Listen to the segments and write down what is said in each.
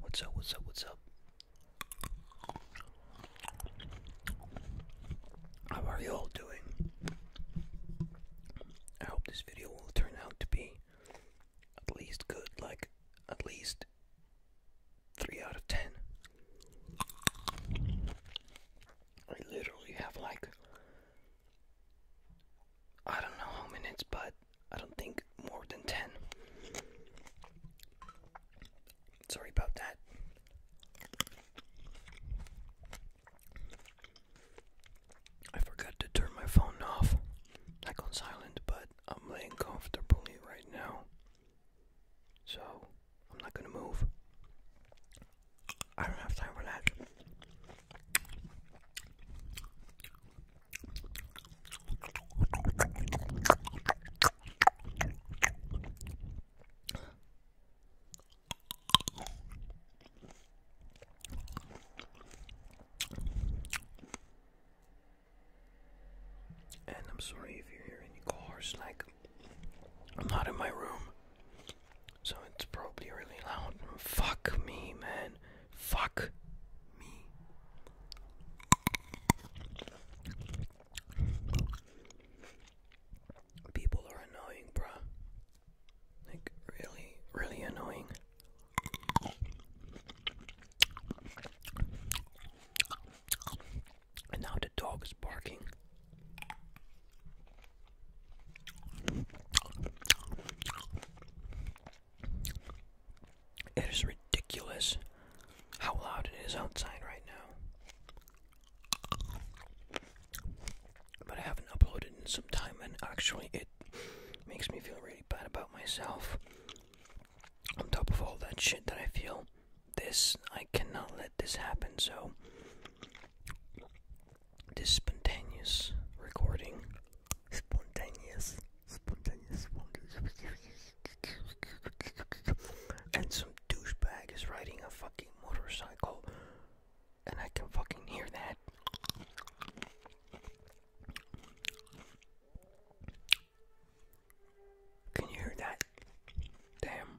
What's up, what's up, what's up? How are you all doing? I hope this video will turn out to be at least good, like at least 3 out of 10. I literally have like I don't know how minutes, but I don't think more than 10. Sorry about that. I forgot to turn my phone off, like on silent, but I'm laying comfortably right now. So, I'm not gonna move. I don't have time for that. And I'm sorry if you hear any cars, like, I'm not in my room, so it's probably really loud. Fuck me, man. Fuck me. People are annoying, bruh. Like, really, really annoying. And now the dog is barking. It is ridiculous how loud it is outside right now. But I haven't uploaded in some time, and actually, it makes me feel really bad about myself. On top of all that shit that I feel, this, I cannot let this happen, so. This spontaneous recording spontaneous, spontaneous, spontaneous, and some douchebag is riding a fucking motorcycle, and I can fucking hear that. Can you hear that? Damn.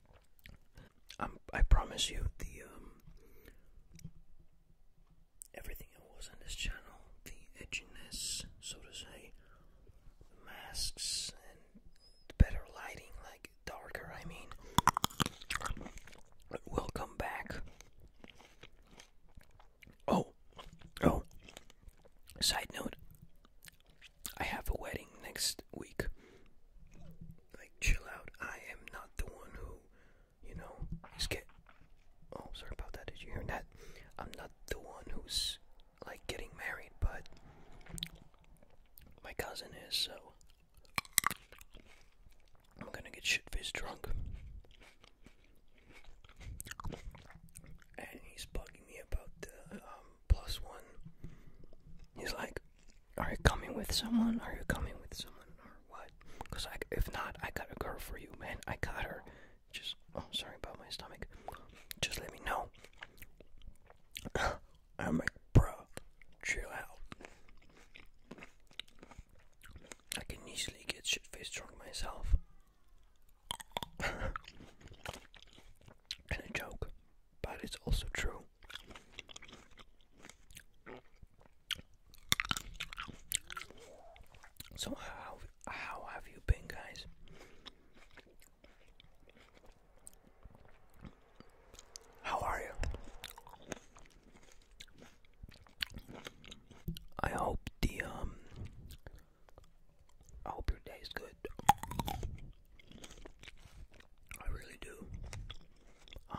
Um, I promise you, the um, everything that was on this channel, the edginess, so to say, masks and better lighting, like darker, I mean, will come back. Oh, oh. Side note, I have a wedding next week. Like, chill out. I am not the one who, you know, is get. Oh, sorry about that. Did you hear that? I'm not the one who's like getting married, but my cousin is. So I'm gonna get shit faced drunk, and he's bugging me about the um plus one. He's like, Are you coming with someone? Are you coming with someone or what? Because if not, I got a girl for you, man. I got her. Just, oh, sorry about my stomach. Just let me know. I'm like, bro, chill out. I can easily get shit faced drunk myself and a joke, but it's also true. So how how have you been, guys? How are you? I hope the um I hope your day is good. I really do. Um,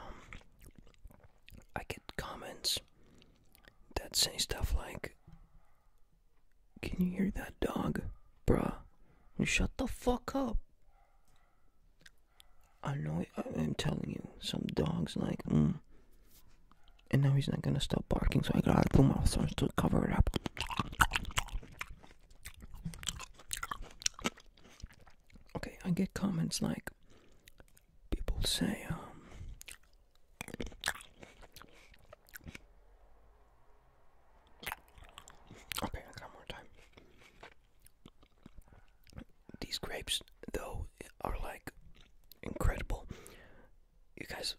I get comments that say stuff like, Can you hear that dog? Bruh, You shut the fuck up. I know, I'm telling you, some dog's like, mm. And now he's not gonna stop barking, so I gotta put my thorns to cover it up. Okay, I get comments like people say, um, okay, I more time. These grapes, though, are like incredible. You guys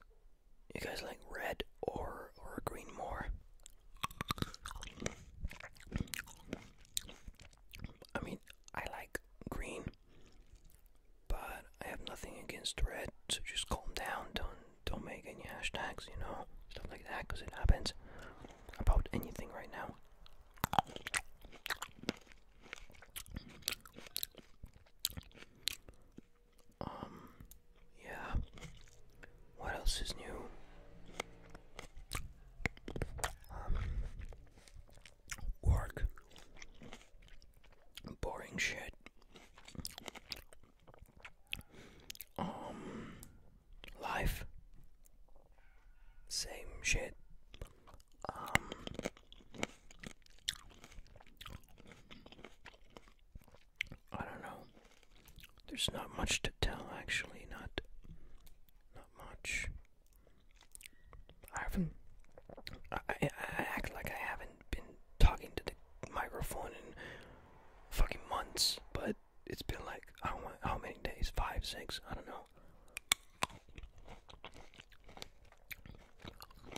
you guys like red or or green more? I mean, I like green, but I have nothing against red. So just calm down. Don't don't make any hashtags. You know, stuff like that, because it happens about anything right now. Um, yeah. What else is new? Um, work. Boring shit. Um, life. Same shit. Um, I don't know. There's not much to tell, actually. Not, not much. I haven't. I, act like I haven't been talking to the microphone in fucking months, but it's been like I don't know how many days? Five, six? I don't know.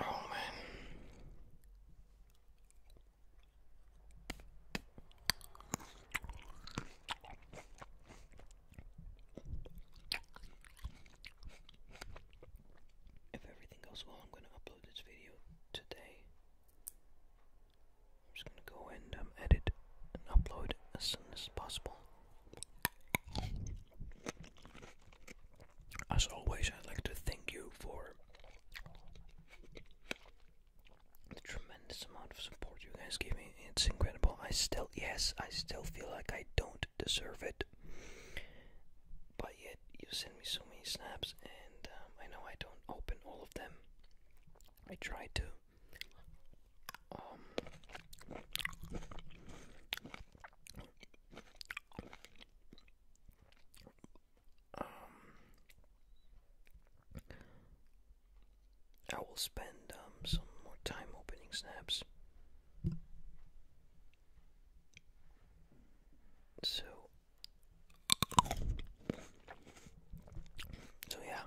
Oh, if everything goes well, I'm going to upload this video today. I'm just going to go and um, edit and upload as soon as possible. As always, I'd like to thank you for the tremendous amount of support you guys give me. It's incredible. I still, yes, I still feel like I don't deserve it. But yet, you send me so many snaps, and um, I know I don't open all of them. I try to. Um, I will spend um, some more time opening snaps. So so yeah,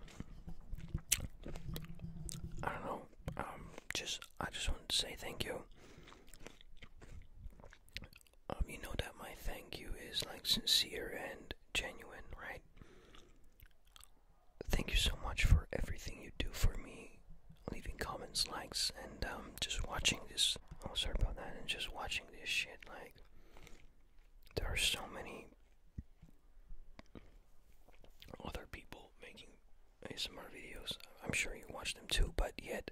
I don't know. Um, just I just wanted to say thank you. Um, you know that my thank you is like sincere and genuine, right? Thank you so much for everything you do for me, leaving comments, likes, and um, just watching this. Oh, sorry about that. And just watching this shit, like there are so many other people making ASMR videos. I'm sure you watch them too, but yet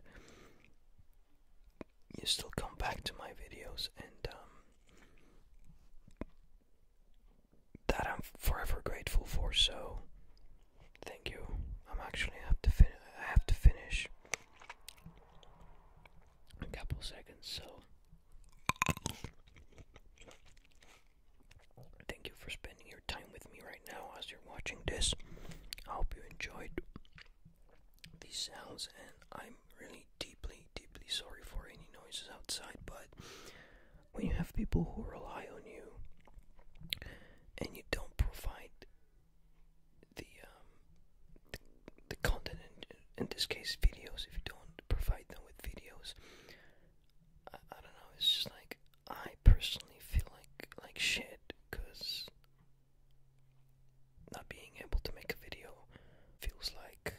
you still come back to my videos, and um, that I'm forever grateful for. So, thank you. I'm actually have to I have to finish a couple seconds, so Thank you for spending your time with me right now as you're watching this. I hope you enjoyed these sounds, and I'm really deeply, deeply sorry for any noises outside. But when you have people who rely on you and you don't provide the um, the content in this case videos if you don't provide them with videos I, don't know it's just like I personally feel like like shit because not being able to make a video feels like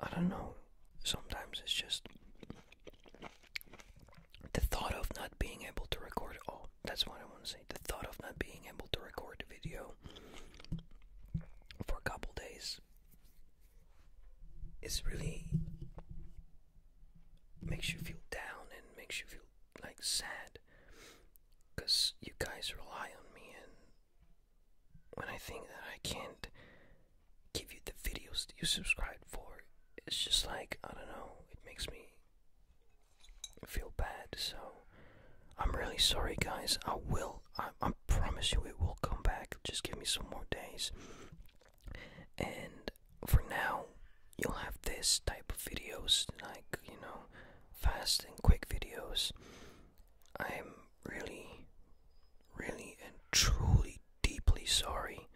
I don't know sometimes it's just the thought of not being able to record oh that's what I want to say the thought of not being able to record a video for a couple days it's really makes you feel down and makes you feel like sad because you guys rely on me and when I think that I can't give you the videos that you subscribed for it's just like I don't know it makes me feel bad so I'm really sorry, guys. I will. I, promise you, it will come back. Just give me some more days. And for now, you'll have this type of videos, like you know, fast and quick videos. I'm really, really, and truly, deeply sorry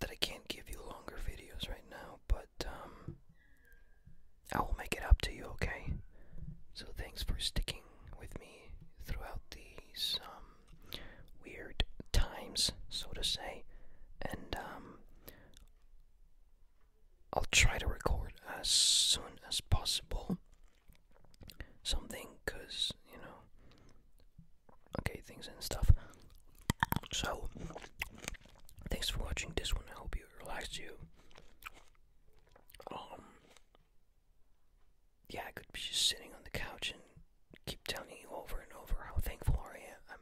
that I can't give you longer videos right now, but um, I will make it up to you, okay? So thanks for sticking with me throughout these um, weird times, so to say. And um, I'll try to record as soon as possible something, cause you know, okay, things and stuff. So, thanks for watching this one. I hope you relaxed you. Um, yeah, I could be just sitting on the couch and keep telling you over and over how thankful I am.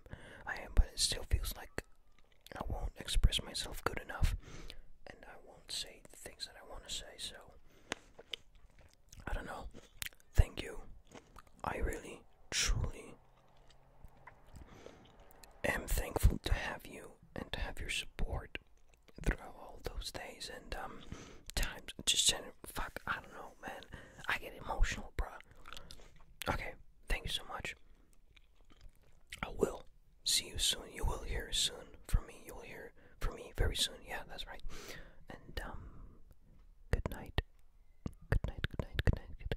I'm, but it still feels like I won't express myself good enough, and I won't say the things that I want to say. So, I don't know. Thank you. I really, truly am thankful to have you and to have your support throughout all those days and um times. Just general, fuck, I don't know, man. I get emotional, bro. Okay, thank you so much. I will see you soon. You will hear soon from me. You'll hear from me very soon. Yeah, that's right. And um, good night. Good night. Good night. Good night. Good night.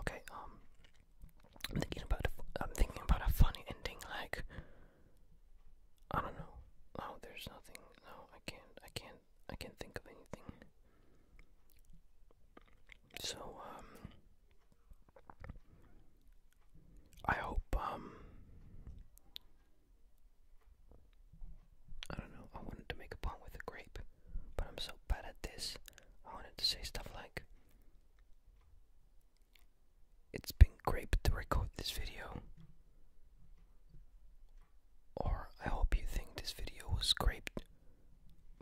Okay, um, I'm thinking about a, I'm thinking about a funny ending, like I don't know. Oh, there's nothing. No, I can't. I can't. I can't think of anything. So, um, I hope um, I don't know, I wanted to make a pun with a grape, but I'm so bad at this. I wanted to say stuff like It's been great to record this video. Or I hope you think this video was great.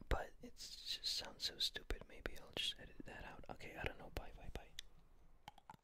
But it just sounds so stupid. Maybe I'll just edit that out. Okay, I don't know. Bye, bye, bye.